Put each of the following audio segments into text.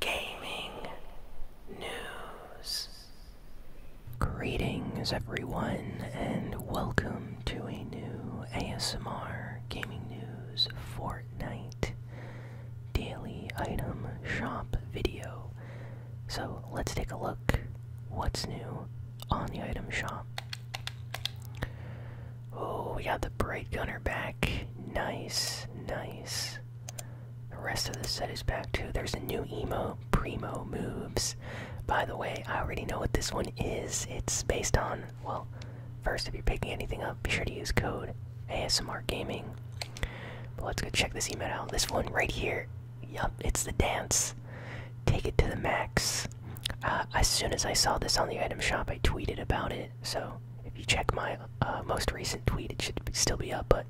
gaming news. Greetings, everyone, and welcome to a new ASMR Gaming News Fortnite Daily Item Shop video. So let's take a look what's new on the item shop. Oh, we got the Bright Gunner back. Nice, nice. The rest of the set is back too. There's a new emo, primo moves. By the way, I already know what this one is. It's based on, well, first, if you're picking anything up, be sure to use code ASMR Gaming. But let's go check this emote out. This one right here. Yup, it's the dance. Take it to the max. Uh, as soon as I saw this on the item shop, I tweeted about it so if you check my uh, most recent tweet, it should still be up. But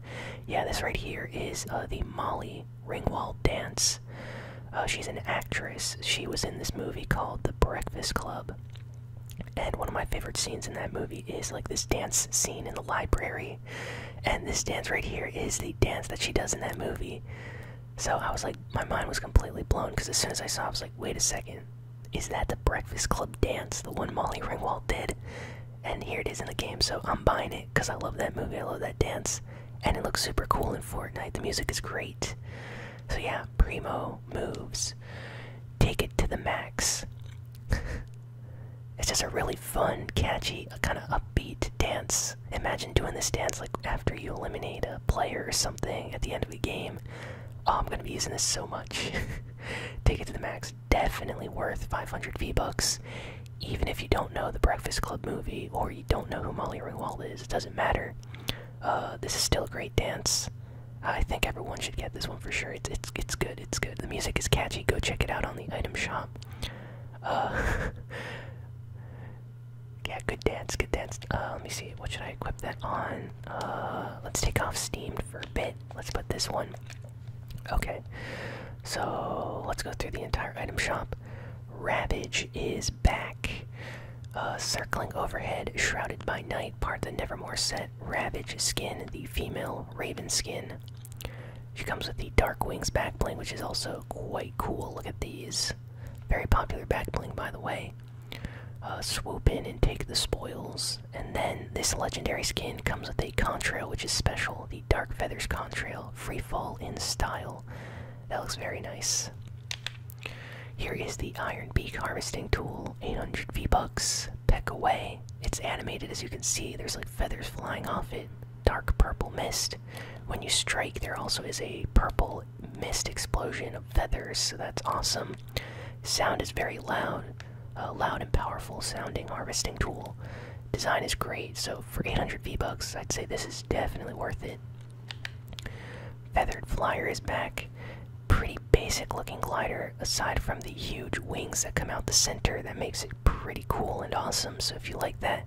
yeah, this right here is uh, the Molly Ringwald dance. Uh, she's an actress. She was in this movie called The Breakfast Club. And one of my favorite scenes in that movie is like this dance scene in the library. And this dance right here is the dance that she does in that movie. So I was like, my mind was completely blown because as soon as I saw, it, I was like, wait a second, is that the Breakfast Club dance, the one Molly Ringwald did? And here it is in the game, so I'm buying it because I love that movie, I love that dance, and it looks super cool in Fortnite. The music is great. So yeah, Primo moves. Take it to the max. it's just a really fun, catchy, kind of upbeat dance. Imagine doing this dance like after you eliminate a player or something at the end of the game. Oh, I'm gonna be using this so much. Take it to the max. Definitely worth 500 V Bucks. Even if you don't know the Breakfast Club movie or you don't know who Molly Ringwald is, it doesn't matter. Uh, this is still a great dance. I think everyone should get this one for sure. It's it's it's good. It's good. The music is catchy. Go check it out on the item shop. Uh, yeah, good dance. Good dance. Uh, let me see. What should I equip that on? let's take off steamed first bit. Let's put this one. Okay, so let's go through the entire item shop. Ravage is back. circling overhead, shrouded by night, part the Nevermore set. Ravage skin, the female raven skin. She comes with the Dark Wings back which is also quite cool. Look at these. Very popular back by the way. Uh, swoop in and take the spoils. And then this legendary skin comes with a contrail, which is special. The Dark Feathers contrail, free fall in style. That looks very nice. Here is the Iron Beak harvesting tool, 800 V bucks. Peck away. It's animated, as you can see. There's like feathers flying off it. Dark purple mist. When you strike, there also is a purple mist explosion of feathers, so that's awesome. Sound is very loud a loud and powerful sounding harvesting tool. Design is great, so for 800 V-Bucks, I'd say this is definitely worth it. Feathered Flyer is back. Pretty basic looking glider, aside from the huge wings that come out the center, that makes it pretty cool and awesome. So if you like that,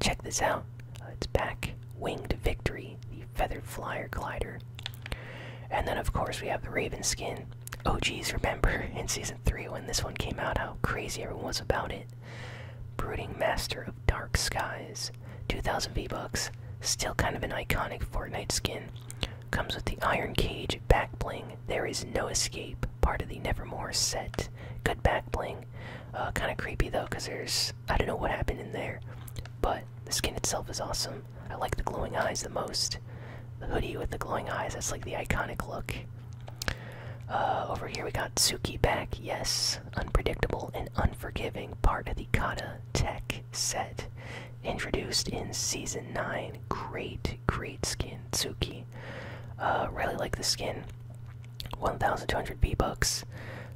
check this out. Uh, it's back. Winged Victory, the Feathered Flyer glider. And then, of course, we have the Raven skin. Oh geez, remember in season three when this one came out how crazy everyone was about it. Brooding Master of Dark Skies, 2000 V-Bucks, still kind of an iconic Fortnite skin. Comes with the Iron Cage back bling. There is no escape. Part of the Nevermore set. Good back bling. Uh, kind of creepy though, cause there's I don't know what happened in there, but the skin itself is awesome. I like the glowing eyes the most. The hoodie with the glowing eyes, that's like the iconic look. Uh, over here we got Suki back, yes. Unpredictable and unforgiving, part of the Kata Tech set. Introduced in Season 9. Great, great skin, Tsuki. Uh, really like the skin. 1200 V-Bucks.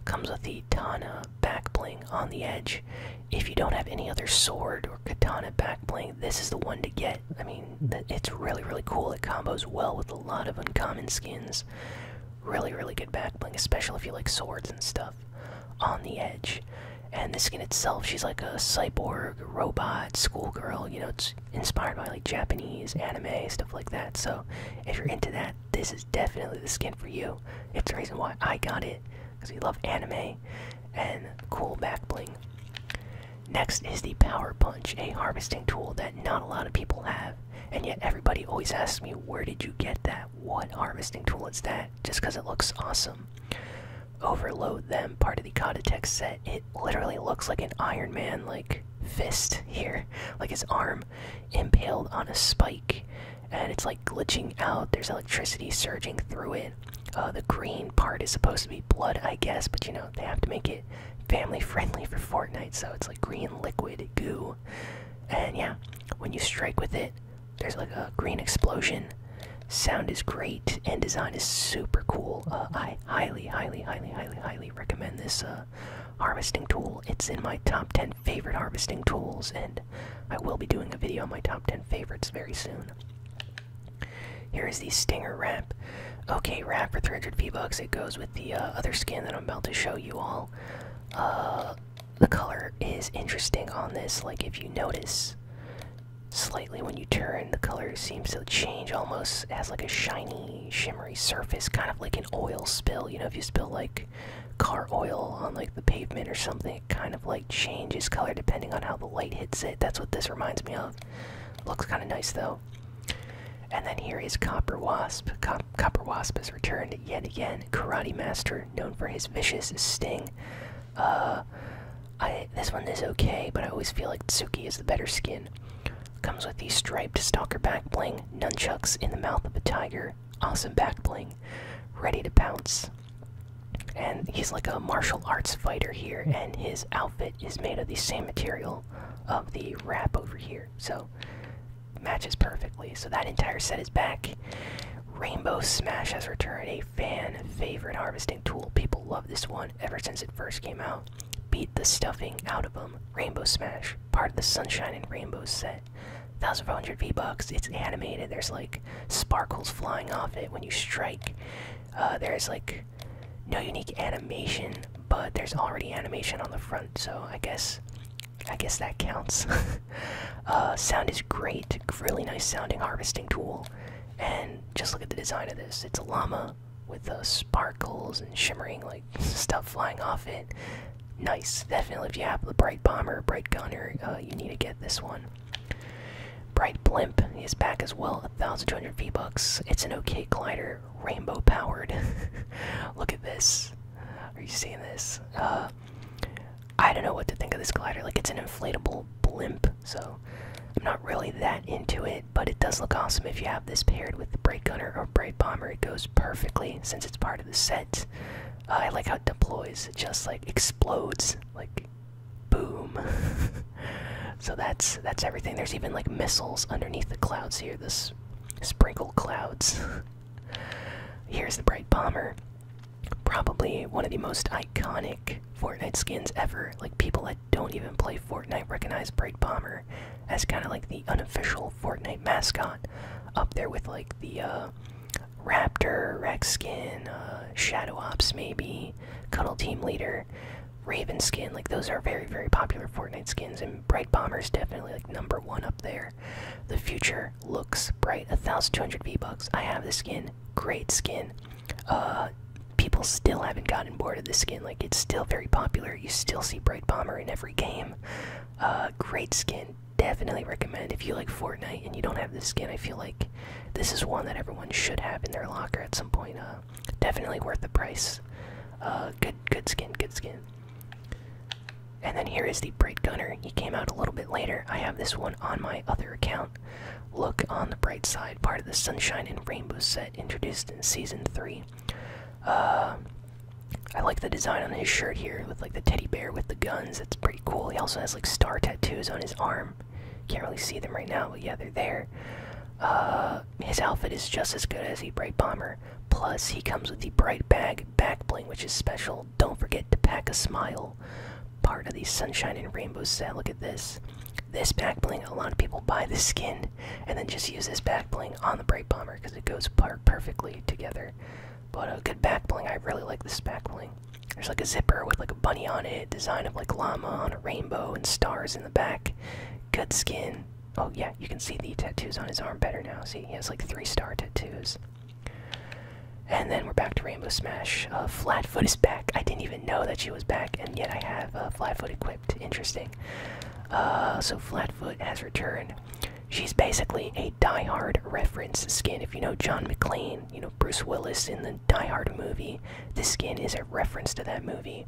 Comes with the Tana back bling on the edge if you don't have any other sword or katana back this is the one to get. I mean, it's really, really cool. It combos well with a lot of uncommon skins. Really, really good back especially if you like swords and stuff. On the edge. And the skin itself, she's like a cyborg, robot, schoolgirl. You know, it's inspired by like Japanese anime, stuff like that. So if you're into that, this is definitely the skin for you. It's the reason why I got it, because we love anime and cool back bling. Next is the Power Punch, a harvesting tool that not a lot of people have, and yet everybody always asks me, Where did you get that? What harvesting tool is that? Just because it looks awesome. Overload them, part of the Codatex set. It literally looks like an Iron Man like fist here, like his arm impaled on a spike and it's like glitching out. There's electricity surging through it. Uh, the green part is supposed to be blood, I guess, but you know, they have to make it family friendly for Fortnite, so it's like green liquid goo. And yeah, when you strike with it, there's like a green explosion. Sound is great and design is super cool. Uh, I highly, highly, highly, highly, highly recommend this uh, harvesting tool. It's in my top 10 favorite harvesting tools, and I will be doing a video on my top 10 favorites very soon. Here is the Stinger wrap. Okay, wrap for 300 V-Bucks. It goes with the uh, other skin that I'm about to show you all. Uh, the color is interesting on this. Like, if you notice slightly when you turn, the color seems to change almost. It has like a shiny, shimmery surface, kind of like an oil spill. You know, if you spill like car oil on like the pavement or something kind of like changes color depending on how the light hits it. That's what this reminds me of. Looks kind of nice though. And then here is Copper Wasp. Copper Wasp has returned yet again. Karate Master, known for his vicious sting. Uh, I, this one is okay, but I always feel like Tsuki is the better skin. Comes with the striped stalker back bling, nunchucks in the mouth of a tiger, awesome back bling, ready to bounce and he's like a martial arts fighter here and his outfit is made of the same material of the wrap over here so matches perfectly so that entire set is back rainbow smash has returned a fan favorite harvesting tool people love this one ever since it first came out beat the stuffing out of them rainbow smash part of the sunshine and rainbow set 1,500 V-Bucks. It's animated. There's like sparkles flying off it when you strike. Uh, there's like no unique animation, but there's already animation on the front, so I guess I guess that counts. Uh, sound is great. Really nice sounding harvesting tool. And just look at the design of this. It's a llama with uh, sparkles and shimmering like stuff flying off it. Nice, definitely. If you have the bright bomber, bright gunner, uh, you need to get this one. Bright Blimp is back as well, 1,200 V-Bucks. It's an okay glider, rainbow powered. Look at this. Are you seeing this? Uh, I don't know what to think of this glider. Like, it's an inflatable blimp, so I'm not really that into it, but it does look awesome if you have this paired with Bright Brake Gunner or Bright Bomber. It goes perfectly since it's part of the set. Uh, I like how it deploys, it just like explodes like boom so that's that's everything there's even like missiles underneath the clouds here this sprinkle clouds here's the bright bomber probably one of the most iconic fortnite skins ever like people that don't even play fortnite recognize bright bomber as kind of like the unofficial fortnite mascot up there with like the uh Raptor, Rex Skin, uh, Shadow Ops, maybe, Cuddle Team Leader, Raven Skin. Like, those are very, very popular Fortnite skins, and Bright Bomber is definitely, like, number one up there. The future looks bright. 1,200 V-Bucks. I have the skin. Great skin. Uh, people still haven't gotten bored of this skin. Like, it's still very popular. You still see Bright Bomber in every game. Uh, great skin definitely recommend if you like Fortnite and you don't have this skin. I feel like this is one that everyone should have in their locker at some point. Uh, definitely worth the price. Uh, good, good skin, good skin. And then here is the Bright Gunner. He came out a little bit later. I have this one on my other account. Look on the bright side, part of the Sunshine and Rainbow set introduced in season three. Uh, I like the design on his shirt here with like the teddy bear with the guns. It's cool. He also has like star tattoos on his arm. Can't really see them right now, but yeah, they're there. Uh, his outfit is just as good as the Bright Bomber. Plus, he comes with the Bright Bag back bling, which is special. Don't forget to pack a smile. Part of the Sunshine and Rainbow set. Look at this. This back bling, a lot of people buy the skin and then just use this back bling on the Bright Bomber because it goes perfectly together. But a good back bling. I really like this back bling. There's like a zipper with like a bunny on it, design of like llama on a rainbow and stars in the back. Good skin. Oh yeah, you can see the tattoos on his arm better now. See, he has like three star tattoos. And then we're back to Rainbow Smash. Uh, Flatfoot is back. I didn't even know that she was back, and yet I have uh, Flatfoot equipped. Interesting. Uh, so Flatfoot has returned. She's basically a die-hard reference skin. If you know John McLean you know, Bruce Willis in the Die Hard movie. This skin is a reference to that movie.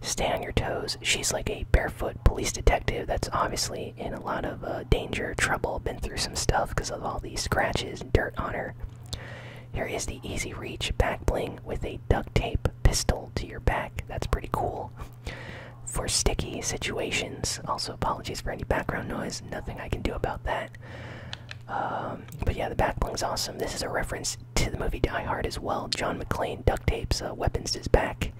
Stay on your toes. She's like a barefoot police detective that's obviously in a lot of uh, danger, trouble, been through some stuff because of all these scratches and dirt on her. Here is the easy reach back bling with a duct tape pistol to your back. That's pretty cool. For sticky situations, also apologies for any background noise nothing I can do about that. Um, but yeah, the backbling's awesome. This is a reference to the movie Die Hard as well. John McClane duct tapes uh, weapons to his back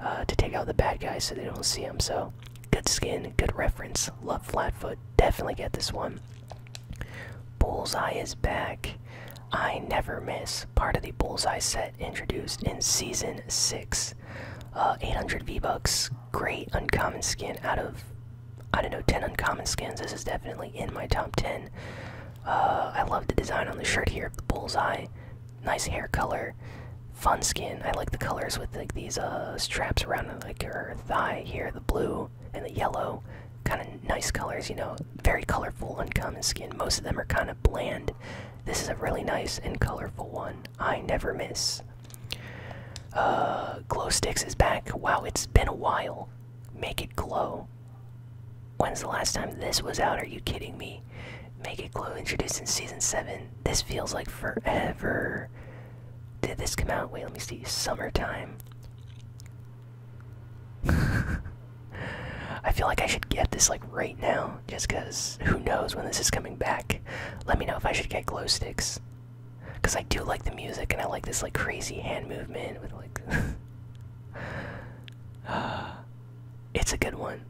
uh, to take out the bad guys so they don't see him. So good skin, good reference. Love Flatfoot. Definitely get this one. Bullseye is back. I never miss. Part of the Bullseye set introduced in season six. Uh, 800 V-Bucks, great uncommon skin out of, I don't know, 10 uncommon skins. This is definitely in my top 10. Uh, I love the design on the shirt here, the bullseye. Nice hair color, fun skin. I like the colors with like these uh, straps around like her thigh here, the blue and the yellow. Kind of nice colors, you know, very colorful uncommon skin. Most of them are kind of bland. This is a really nice and colorful one. I never miss. Uh, glow sticks is back. Wow, it's been a while. Make it glow. When's the last time this was out? Are you kidding me? Make it glow. Introduced in season seven. This feels like forever. Did this come out? Wait, let me see. Summertime. I feel like I should get this like right now, just because who knows when this is coming back let me know if I should get glow sticks because I do like the music and I like this like crazy hand movement it's a good one.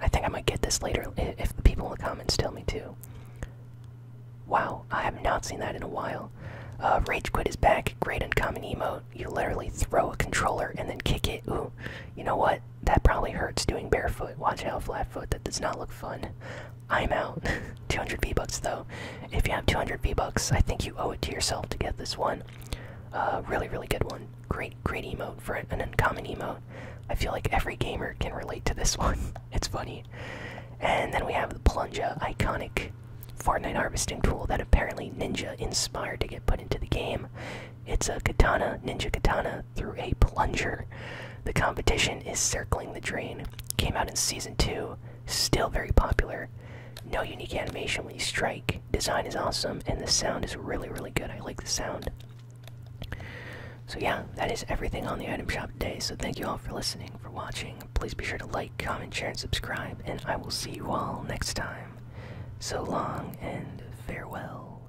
I think I might get this later if the people in the comments tell me to. Wow, I have not seen that in a while. Uh, Rage Quit is back. Great uncommon emote. You literally throw a controller and then kick it. Ooh, you know what? that probably hurts doing barefoot. Watch out, Flatfoot. That does not look fun. I'm out. 200 V-Bucks, though. If you have 200 V-Bucks, I think you owe it to yourself to get this one. A uh, really, really good one. Great, great emote for an uncommon emote. I feel like every gamer can relate to this one. it's funny. And then we have the Plunger, iconic Fortnite harvesting tool that apparently Ninja inspired to get put into the game. It's a katana, Ninja Katana, through a plunger. The competition is circling the drain. Came out in season two, still very popular. No unique animation when you strike. Design is awesome, and the sound is really, really good. I like the sound. So, yeah, that is everything on the item shop today. So, thank you all for listening, for watching. Please be sure to like, comment, share, and subscribe. And I will see you all next time. So long and farewell.